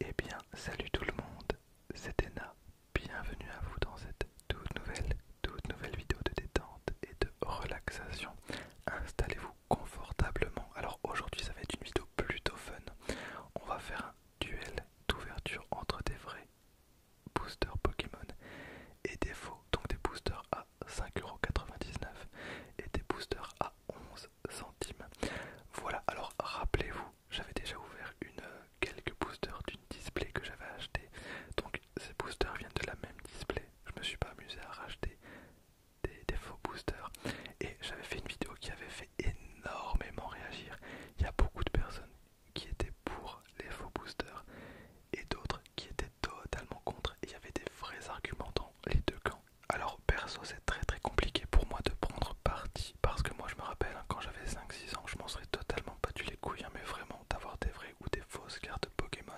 Eh bien, salut tout le monde, c'est Ena. Bienvenue à vous dans cette toute nouvelle, toute nouvelle vidéo de détente et de relaxation. Installez-vous confortablement. Alors aujourd'hui, ça va être une vidéo plutôt fun. On va faire un duel d'ouverture entre des vrais boosters Pokémon et des faux, donc des boosters à 5,99€ et des boosters à 11€ centimes. Voilà, alors rappelez-vous, j'avais déjà ouvert une, euh, quelques boosters d'une display que j'avais acheté. Donc ces boosters viennent de la même display. Je me suis pas amusé à racheter des, faux boosters. Et j'avais fait une vidéo qui avait fait énormément réagir. Il y a beaucoup de personnes qui étaient pour les faux boosters et d'autres qui étaient totalement contre. il y avait des vrais arguments dans les deux camps. Alors perso c'est très très compliqué pour moi de prendre parti parce que moi je me rappelle hein, quand j'avais 5-6 ans je m'en serais totalement battu les couilles hein, mais vraiment d'avoir des vraies ou des fausses cartes Pokémon.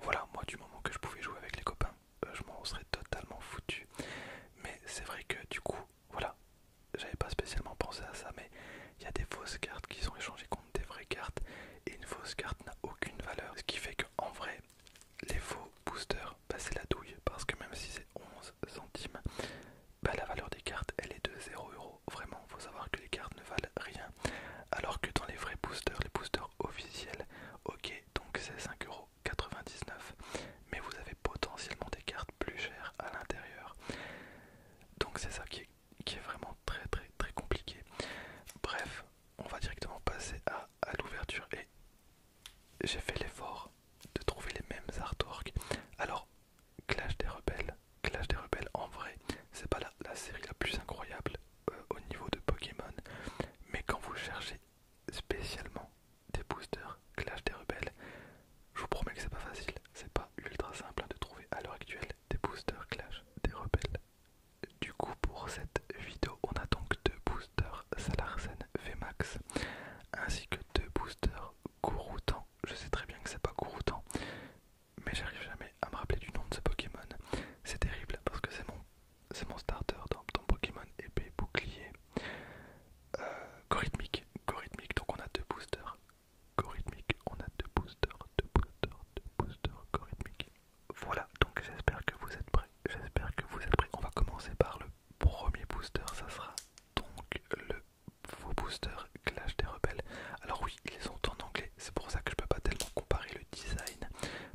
Voilà moi du moment que je pouvais jouer avec les copains euh, je m'en serais totalement foutu. Mais c'est vrai que du coup voilà j'avais pas spécialement pensé à ça mais il y a des fausses cartes qui sont échangées contre des vraies cartes et une fausse carte n'a aucune valeur ce qui fait qu'en vrai les faux boosters, bah, c'est la douille parce que même si c'est 11 centimes, bah, la valeur des cartes elle est de 0€. euros. Vraiment, faut savoir que les cartes ne valent rien. Alors que dans les vrais boosters, les boosters officiels, ok, donc c'est 5,99€. euros. mais vous avez potentiellement des cartes plus chères à l'intérieur donc c'est ça qui est, qui est vraiment très très très compliqué bref on va directement passer à, l'ouverture et j'ai fait l'effort de trouver les mêmes artworks. Alors, Clash des Rebelles, Clash des Rebelles en vrai, c'est pas la, série la plus incroyable euh, au niveau de Pokémon, mais quand vous cherchez spécialement des boosters Clash des Rebelles, je vous promets que c'est pas facile, c'est pas ultra simple hein, de trouver à l'heure actuelle des boosters Clash des Rebelles. Du coup, pour cette vidéo, on a donc deux boosters booster Salarsen Vmax ainsi que deux boosters Gouroutan. Je sais très bien que c'est pas Gouroutan, mais j'arrive jamais à me rappeler du nom de ce Pokémon. C'est terrible parce que c'est mon, c'est mon starter dans, ton Pokémon épée bouclier. Euh, Gorythmique, donc on a deux boosters. Gorythmique, on a deux boosters, deux boosters, deux boosters, voilà, donc j'espère que vous êtes prêts. J'espère que vous êtes prêts. On va commencer par le premier booster, ça sera donc le faux booster Clash des Rebelles. Alors oui, ils sont en anglais, c'est pour ça que je peux pas tellement comparer le design,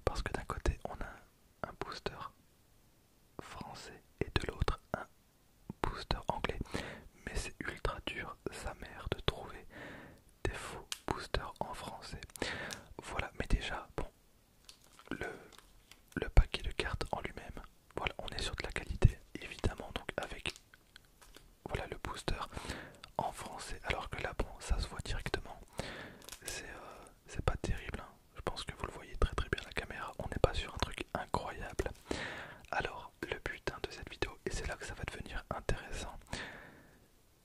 parce que d'un côté on a un booster français et de l'autre un booster anglais. Mais c'est ultra dur, sa mère, de trouver des faux boosters en français. Voilà, mais déjà, bon, le, le paquet de cartes en lui-même. Voilà, on est sur de la qualité, évidemment, donc avec voilà le booster en français. Alors que là, bon, ça se voit directement. C'est euh, pas terrible. Hein. Je pense que vous le voyez très très bien la caméra. On n'est pas sur un truc incroyable. Alors, le but de cette vidéo, et c'est là que ça va devenir intéressant,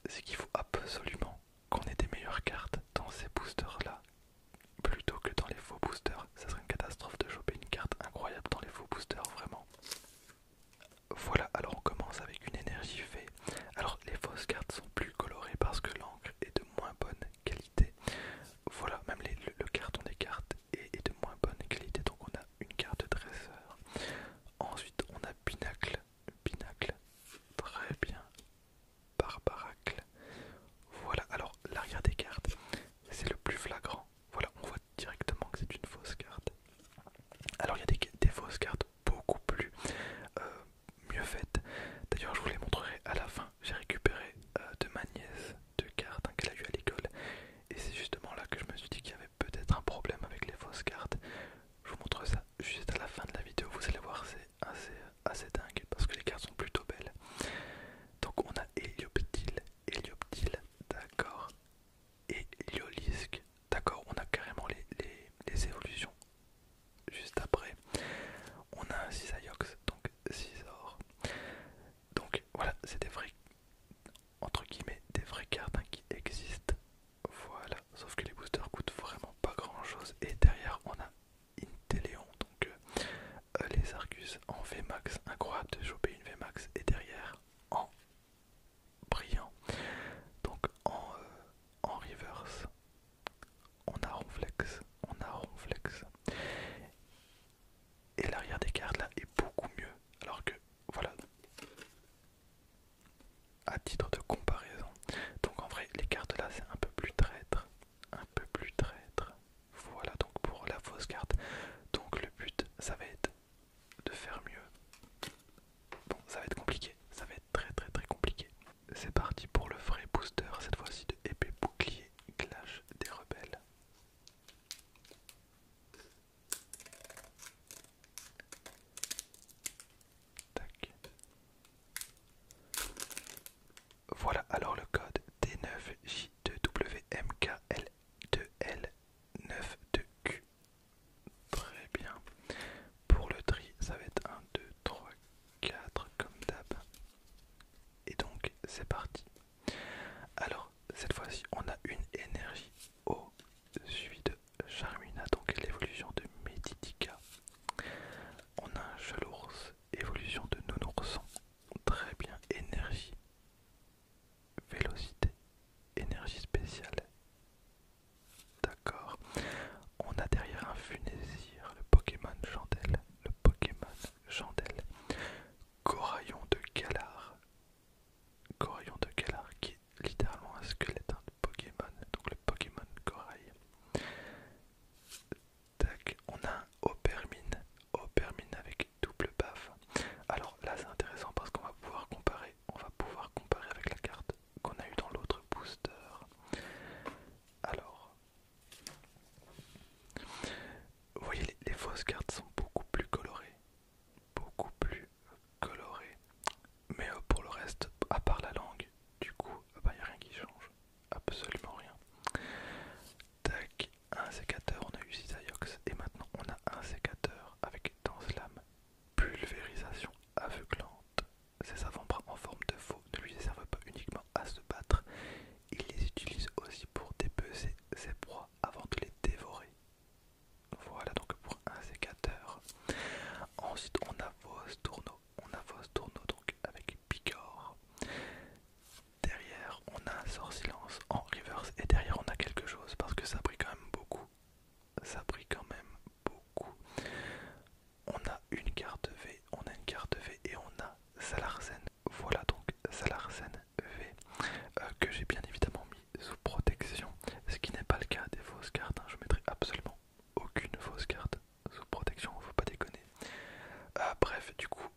c'est qu'il faut absolument qu'on ait des meilleures cartes dans ces boosters là plutôt que dans les faux boosters. Ça serait une catastrophe de choper une carte incroyable dans les faux boosters, vraiment. Voilà, alors on commence avec une énergie fée. Alors les fausses cartes sont plus colorées parce que l'encre est de moins bonne qualité. Voilà, même le, carton des cartes est, de moins bonne qualité, donc on a une carte dresseur. Ensuite on a Binacle. Binacle, très bien, Barbaracle. Voilà, alors l'arrière des cartes, c'est le plus flagrant. Voilà, on voit directement que c'est une fausse carte. Alors il y a des, fausses cartes beaucoup plus euh, mieux faites. D'ailleurs, je vous les montrerai à la fin. J'ai récupéré euh, de ma nièce deux cartes hein, qu'elle a eu à l'école. Et c'est justement là que je me suis dit qu'il y avait peut-être un problème avec les fausses cartes. Je vous montre ça juste à la fin de la vidéo, vous allez voir, c'est assez, dingue parce que les cartes sont plutôt belles. Donc on a Hélioptile, Helioptile d'accord, et d'accord, on a carrément les, les, les évolutions juste après. On a un Cisaiox, donc 6 Donc voilà, c'est des vrais entre guillemets des vraies cartes hein, qui existent voilà, sauf que les boosters coûtent vraiment pas grand chose. Et derrière, on a Inteleon, donc euh, les Argus en VMAX. Incroyable de choper une VMAX. Et derrière, en brillant. Donc en, euh, en reverse, on a Ronflex. On a Ronflex. Et l'arrière des cartes là est beaucoup mieux. Alors que voilà, à titre de comparaison. Donc en vrai, les cartes là, c'est un peu plus traître, un peu plus traître. Voilà donc pour la fausse carte. Donc le but, ça va être de faire mieux. Bon, ça va être compliqué, ça va être très très très compliqué. C'est parti pour le vrai booster, cette fois-ci de épée bouclier clash des rebelles. Voilà alors le code D9J2WMKL2L92Q. Très bien. Pour le tri, ça va être 1, 2, 3, 4 comme d'hab. Et donc c'est parti. Alors cette fois-ci on a une énergie au suivi de Charmina donc l'évolution de Meditica. On a un évolution de Nounourson. Très bien, énergie, vélocité, énergie spéciale. D'accord. On a derrière un Funésir, le Pokémon Chandelle, le Pokémon Chandelle. Coraillon de Galar. Coraillon de Galar qui littéralement un squelette de Pokémon, donc le Pokémon corail. Tac, on a un Opermine, Opermine avec double baffe. Alors là c'est intéressant parce qu'on va pouvoir comparer, on va pouvoir comparer avec la carte qu'on a eu dans l'autre booster. Alors, vous voyez les fausses cartes sont beaucoup plus colorées, beaucoup plus coloré. Mais euh, pour le reste, à part la langue, du coup, il ah n'y bah, a rien qui change. Absolument rien. Tac, un sécateur, on a eu ayox et maintenant on a un sécateur avec dans lame pulvérisation aveuglante. Ses avant-bras en forme de faux ne lui servent pas uniquement à se battre, il les utilise aussi pour dépecer ses proies avant de les dévorer. Voilà donc pour un sécateur. Ensuite on a vos tourneaux. On a vos tourneaux donc avec Picor. Derrière on a un sort silence en reverse et derrière on a quelque chose parce que ça brille quand même beaucoup. Ça brille quand même beaucoup. On a une carte V, on a une carte V et on a Salarsen. Voilà donc Salarsen V euh, que j'ai bien évidemment mis sous protection, ce qui n'est pas le cas des Vos cartes. Hein. Je mettrai absolument aucune fausse carte sous protection, faut pas déconner. Euh, bref, du coup,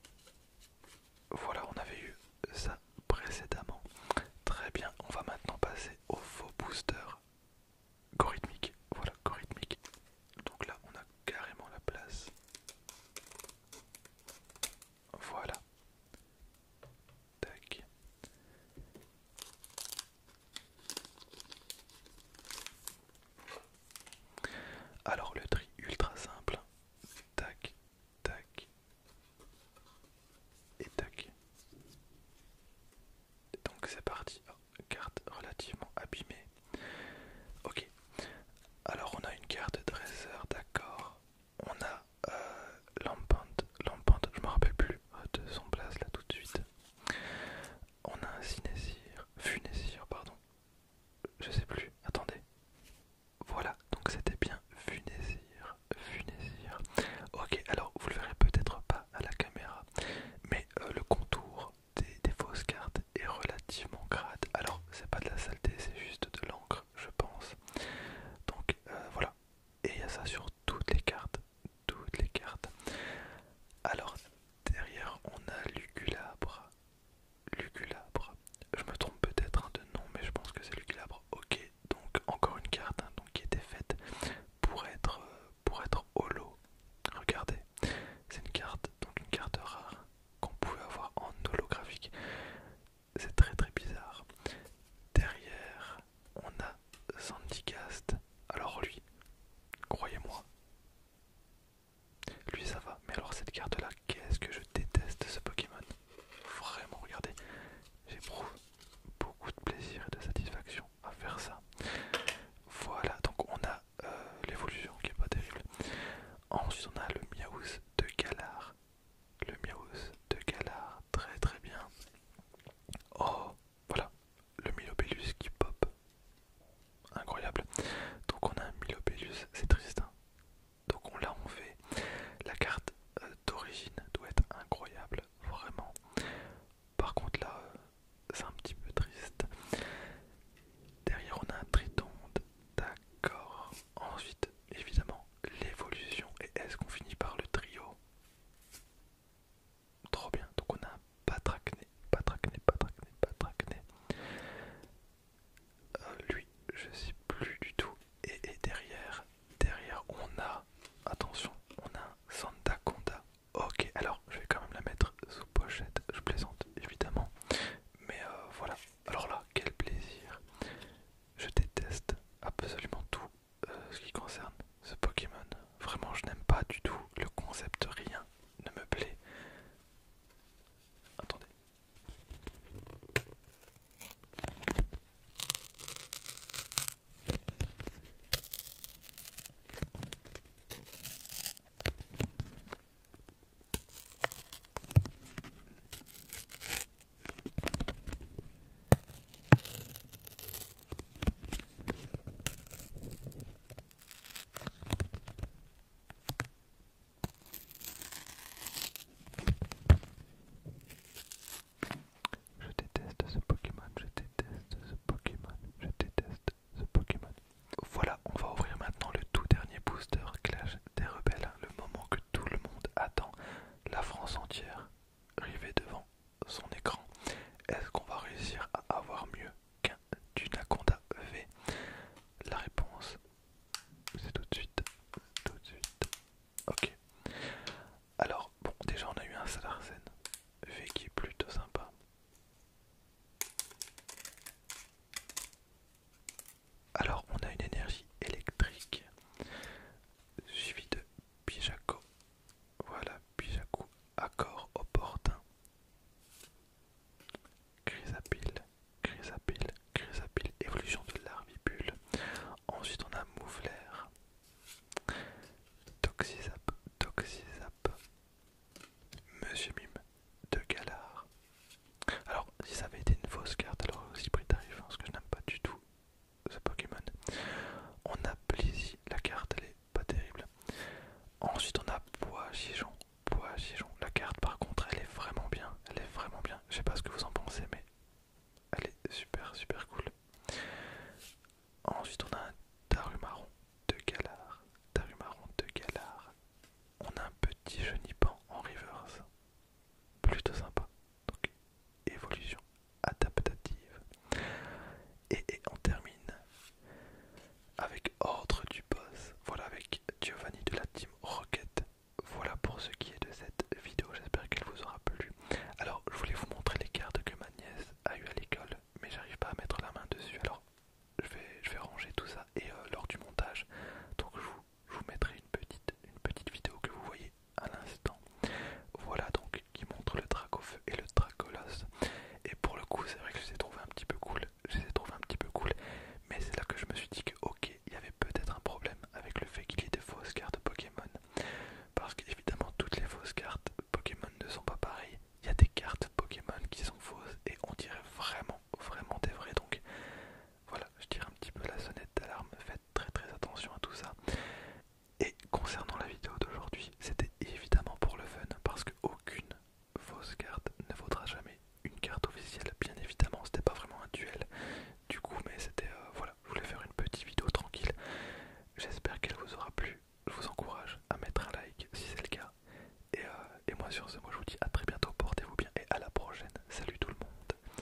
voilà, on avait eu ça précédemment. Très bien, on va maintenant passer au faux booster gorythmique voilà, gorythmique, Donc là, on a carrément la place. Voilà. Alors le tri ultra simple. Tac, tac. Et tac. Donc c'est parti. Oh, carte relativement abîmée. Ok. Alors on a une carte dresseur, d'accord. On a lampante, euh, lampante, je me rappelle plus de son place là tout de suite. On a un Sinésir, Funésir, pardon. Je sais plus, attendez. Voilà, donc c'était bien Funésir, Funésir. Ok, alors vous le verrez peut-être pas à la caméra, mais euh, le contour des, fausses cartes est relativement gratte Alors, c'est pas de la saleté, c'est juste de l'encre, je pense. Donc euh, voilà, et il y a ça sur toutes les cartes toutes les cartes. Alors derrière on a Luculabre. Luculabre. Je me trompe peut-être hein, de nom mais je pense que c'est Luculabre. Ok, donc encore une carte hein, donc, qui était faite pour être euh, pour être holo. Regardez, c'est une carte, donc une carte rare qu'on pouvait avoir en holographique. C'est très très bizarre. Derrière, on a Sandicast. Alors lui, croyez-moi, lui ça va. Mais alors cette carte là, qu'est-ce que je déteste ce Pokémon. Vraiment, regardez, j'éprouve beaucoup de plaisir et de satisfaction à faire ça. Voilà, donc on a euh, l'évolution qui est pas terrible. Ensuite on a le Miaouz de Galar. Le Miaouz de Galar, très très bien. Oh, voilà, le Milobellus qui pop. Incroyable. Donc on a un Milobellus, c'est triste. Hein. Donc on l'a on fait. La carte euh, d'origine doit être incroyable, vraiment. Par contre là, euh, c'est un petit peu triste. Derrière on a un tritonde, d'accord. Ensuite, évidemment, l'évolution. Et est-ce qu'on finit par le trio Trop bien. Donc on a un patracné, patracné, patracné, euh, lui, je sais plus du tout. Et, derrière, derrière, on a, attention, on a un Conda. Ok, alors je vais quand même la mettre sous pochette. Je plaisante, évidemment. Mais euh, voilà. Alors là, quel plaisir. Je déteste absolument tout euh, ce qui concerne ce Pokémon. Vraiment, je n'aime pas du tout le concept, rien ne me plaît. Attendez. Je déteste ce Pokémon, je déteste ce Pokémon, je déteste ce Pokémon. Voilà, on va ouvrir maintenant le tout dernier booster Clash des Rebelles, le moment que tout le monde attend, la France entière rivé devant son écran. Est-ce qu'on va réussir à avoir mieux qu'un Dunaconda V La réponse, c'est tout de suite. Tout de suite. Ok. Alors, bon, déjà on a eu un Salarsen V qui est plutôt sympa. Alors, on a une énergie électrique suivie de Pijaco. Voilà, Pijaco, accord opportun. Chrysapile, Chrysapile, Chrysapile, évolution de l'arvibule. Ensuite, on a Mouvler, Toxizap, Toxizap. Monsieur Mime de Galard. Alors, si ça avait été une fausse carte, alors aussi pris tarif, hein, ce que je n'aime pas du tout, ce Pokémon. On a plaisir la carte elle est pas terrible. Ensuite on a Bois Gijon, Bois Gijon. La carte par contre elle est vraiment bien, elle est vraiment bien. Je sais pas ce que vous en pensez mais elle est super super cool. Ensuite on a un Tarumaron de Galar, Tarumaron de Galar. On a un petit Genipan en reverse plutôt sympa. Donc évolution adaptative. Et, on termine avec Ordre du Boss. Voilà avec Giovanni de la team Rocket. Voilà pour ce qui est de cette vidéo, j'espère qu'elle vous aura plu. Alors je voulais vous montrer les cartes que ma nièce a eu à l'école, mais j'arrive pas à mettre la main dessus. Alors je vais, ranger tout ça et euh, lors du montage. Donc je vous mettrai une petite, une petite vidéo que vous voyez à l'instant. Voilà donc qui montre le Dracofeu et le Dracolos. Et pour le coup, c'est vrai que je les ai un petit peu cool. Je les ai un petit peu cool. Mais c'est là que je me suis dit que, ok, il y avait peut-être un problème avec le fait qu'il y ait des fausses cartes Pokémon. Parce qu'évidemment, toutes les fausses cartes Pokémon ne sont pas pareilles. Il y a des cartes Pokémon qui sont fausses et on dirait vraiment, vraiment des vraies. Donc, voilà, je tire un petit peu la sonnette d'alarme, faites très très attention à tout ça. Et concernant la vidéo d'aujourd'hui, c'était évidemment pour le fun, parce qu'aucune fausse carte ne vaudra jamais une carte officielle, bien évidemment, c'était pas vraiment un duel du coup, mais c'était euh, voilà, je voulais faire une petite vidéo tranquille. J'espère qu'elle vous aura plu. Je vous encourage à mettre un like si c'est le cas. Et, euh, et moi sur ce, moi je vous dis à très bientôt, portez-vous bien et à la prochaine. Salut tout le monde.